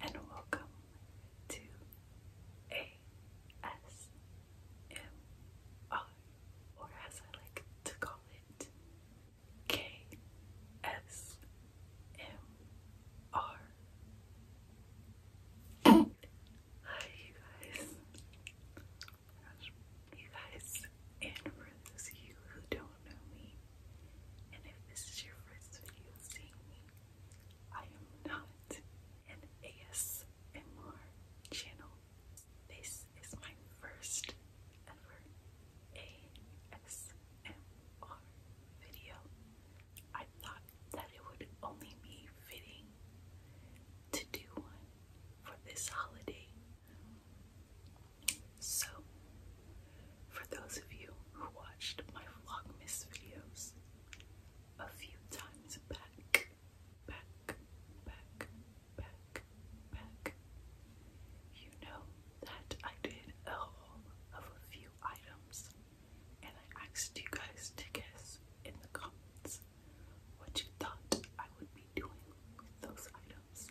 Hello and welcome to ASMR, or as I like to call it, KSMR. Hi, you guys. You guys, and for those of you who don't don't know me, and if this is your first video seeing me, I am not an ASMR channel. This is my first ever ASMR video. I thought that it would only be fitting to do one for this holiday. So, for those of you who watched my Vlogmas videos a few times back, back, back, back, back, you know that I did a haul of a few items and I asked you guys to guess in the comments what you thought I would be doing with those items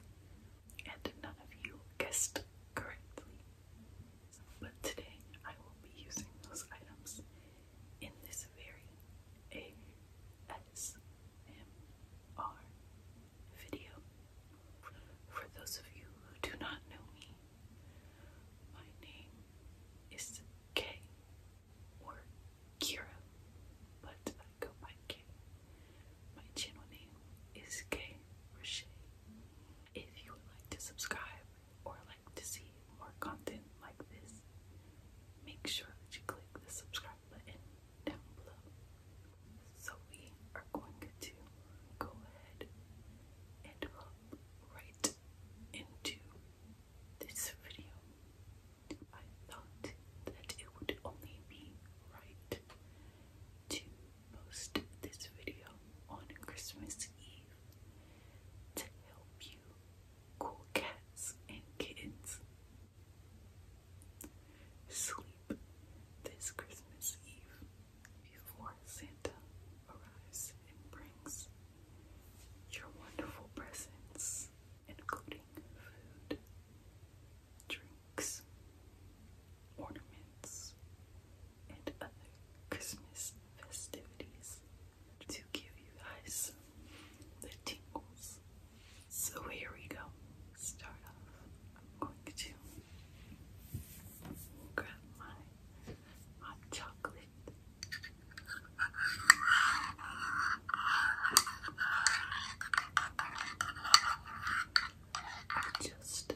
and none of you guessed correctly. But today I will be using those items in this very ASMR video. For those of you who do not know me, my name is Kay or Kira, but I go by Kay. My channel name is Kay Roche. If you would like to subscribe or like to see more content like this, make sure that you click the subscribe button down below. So we are going to go ahead and hop into this video. I thought that it would only be right to post this video on Christmas Eve to help you cool cats and kittens sleep this Christmas Eve before Santa arrives and brings your wonderful presents, including food, drinks, ornaments, and other Christmas festivities to give you guys the tingles. So here we go. Start off. I'm going to grab my hot chocolate. just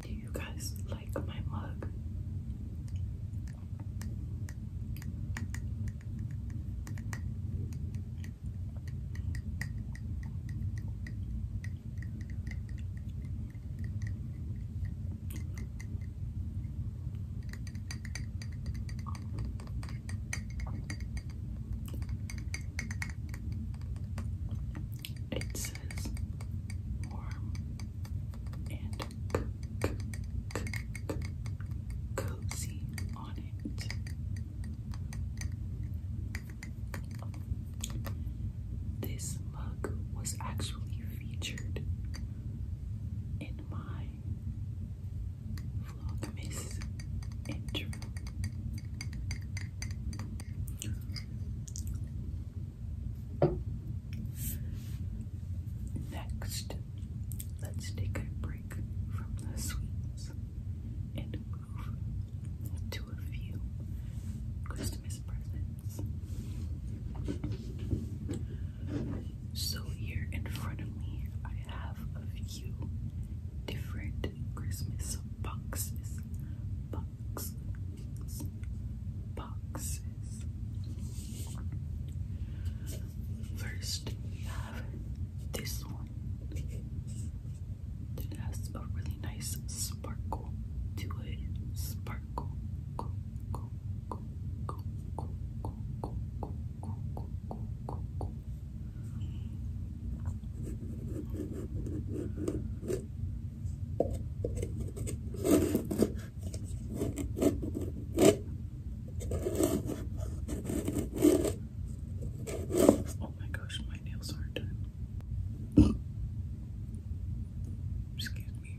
Do you guys like my mug? It says warm and cozy on it. This mug was actually featured in my Vlogmas intro. Next, let's take a break from the sweets and to a few Christmas presents. So, here in front of me, I have a few different Christmas boxes. Boxes. Boxes. First, we have this one. It has a really nice sparkle to it. Sparkle. Go, go, go, go, go, go, go, go, go, go, go, go. Oh my gosh, my nails aren't done. Excuse me.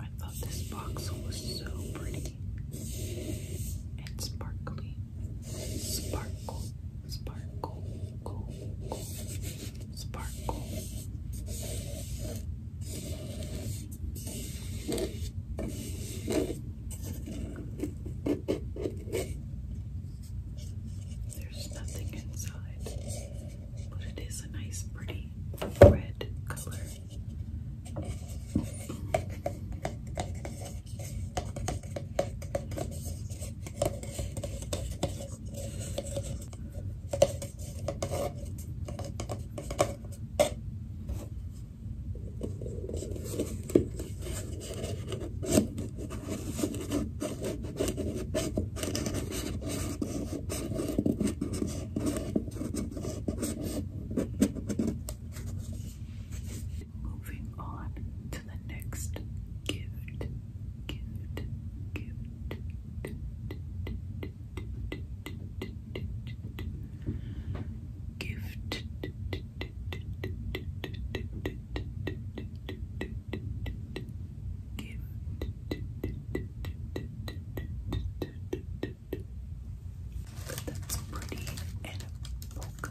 I thought this box was so pretty and sparkly. Sparkle, sparkle, go, go, sparkle. There's nothing inside but it is a nice, pretty red color. Moving on to the next cute, cute, cute. Gift but that's pretty and polka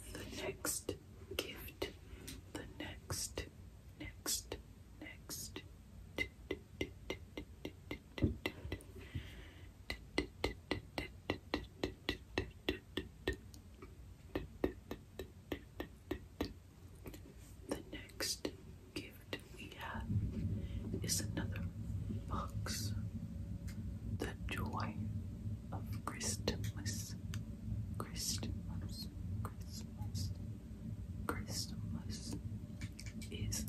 The next gift the next, next, next. The next gift we have is another box. The joy of Christmas. Christmas. Christmas. Christmas. is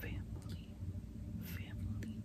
family, family.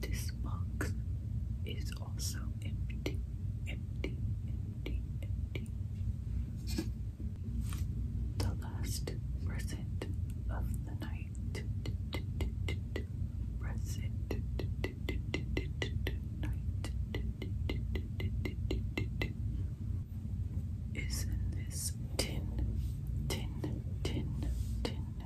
This box is also empty, empty, empty, empty. The last present of the night. Present night is in this tin, tin, tin, tin,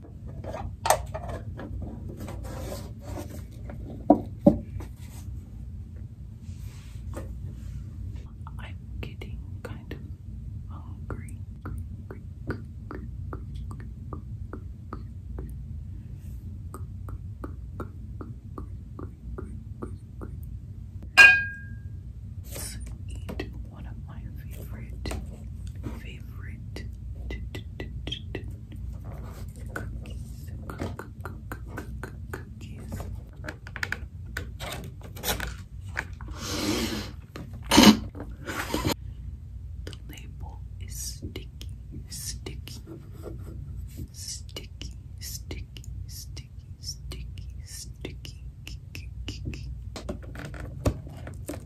I'm getting kind of hungry. let one of my favorite, favorite, Cookies. Cookies. The label is sticky, sticky, sticky, sticky, sticky, sticky, sticky.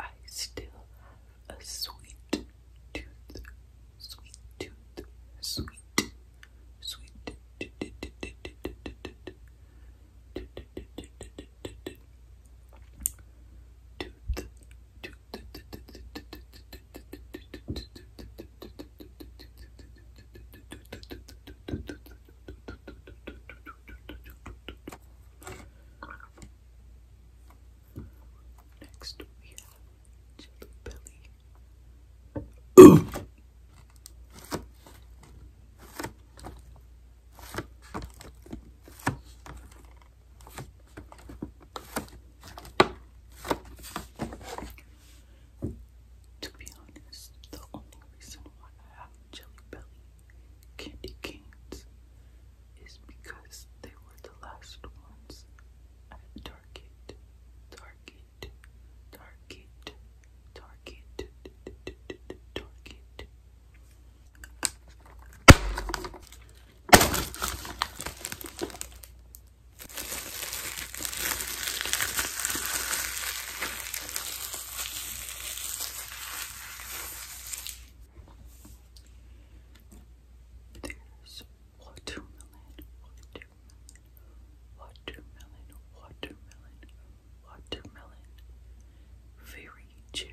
I still have a sweet tooth, sweet tooth, sweet, sweet. Next we have Jelly Belly. Ooh. To be honest, the only reason why I have Jelly Belly candy canes is because they were the last ones at Target. Target, Target, Target, Target. There's watermelon, watermelon, watermelon, watermelon, watermelon, very cherry,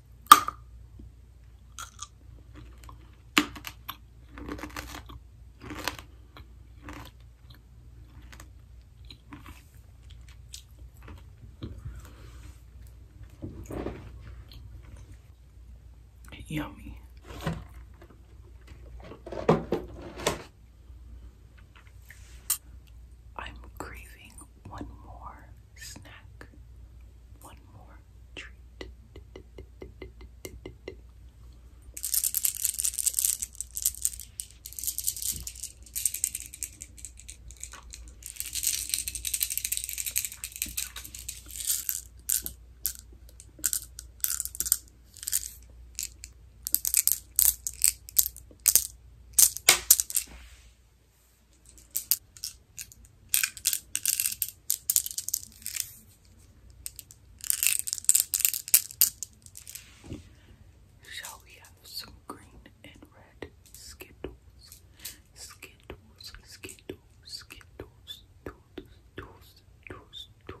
Yummy. I'm craving one more snack, one more treat. Shall we have some green and red skittles? Skittles, skittles, skittles, tools, tools, tools, tools.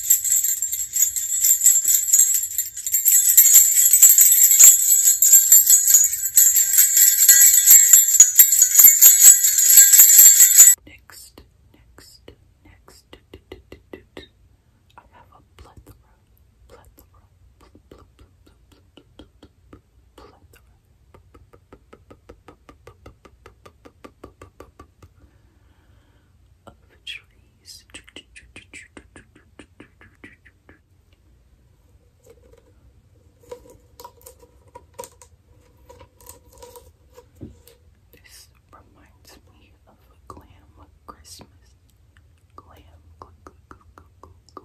Next, next, next, I have a plethora, plethora, plethora, plethora of the trees. This reminds me of a glam Christmas. Glam, glam, glam, glam.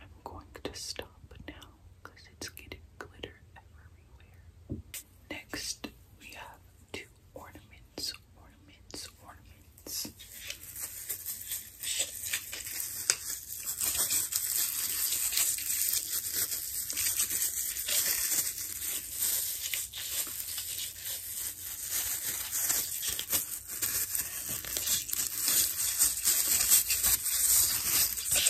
I'm going to stop now because it's getting glitter everywhere. Next, we have two ornaments, ornaments, ornaments.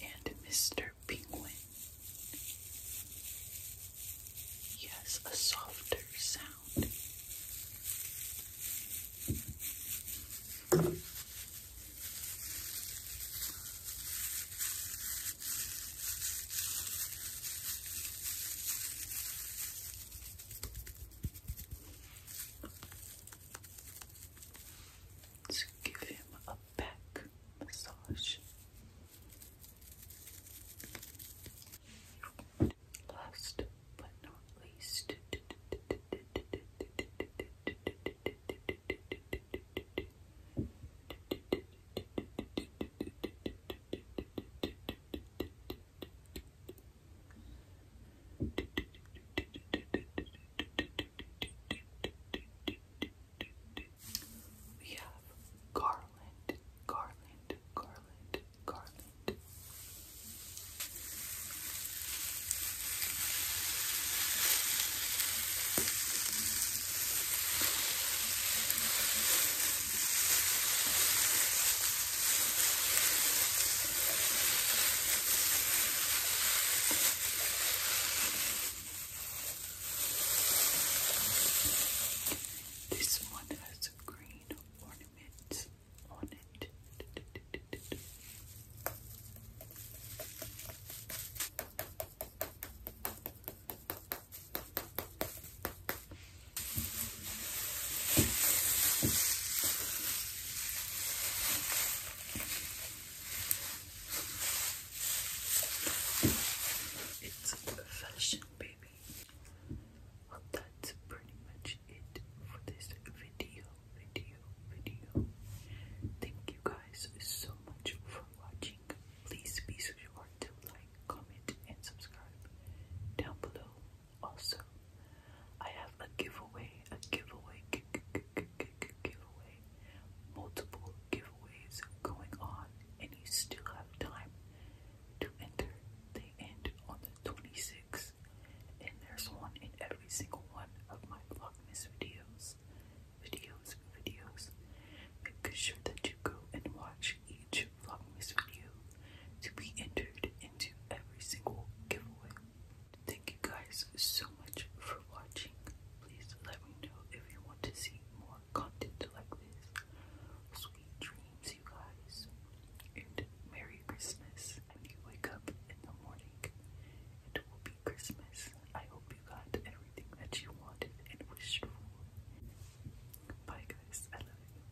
And Mr. Penguin. Yes, a softer sound. Let's give him a back massage. Last but not least, we have garland, garland, garland, garland. This one has green ornament on it. It's fashion, baby. that's pretty much it for this video, video, video. Thank you guys so much for watching. Please be sure to like, comment, and subscribe down below. Also, I have a giveaway, a giveaway, g -g -g -g giveaway, multiple giveaways going on, and you still have time to enter. They end on the 26th, and there's one in every single one of my Vlogmas videos. Videos, videos. Make sure that you go and watch each Vlogmas video to be entered into every single giveaway. Thank you guys so much for watching. Please let me know if you want to see more content like this. Sweet dreams, you guys. And Merry Christmas. When you wake up in the morning, it will be Christmas. I hope you got everything that you wanted and wished for. Bye, guys. I love you.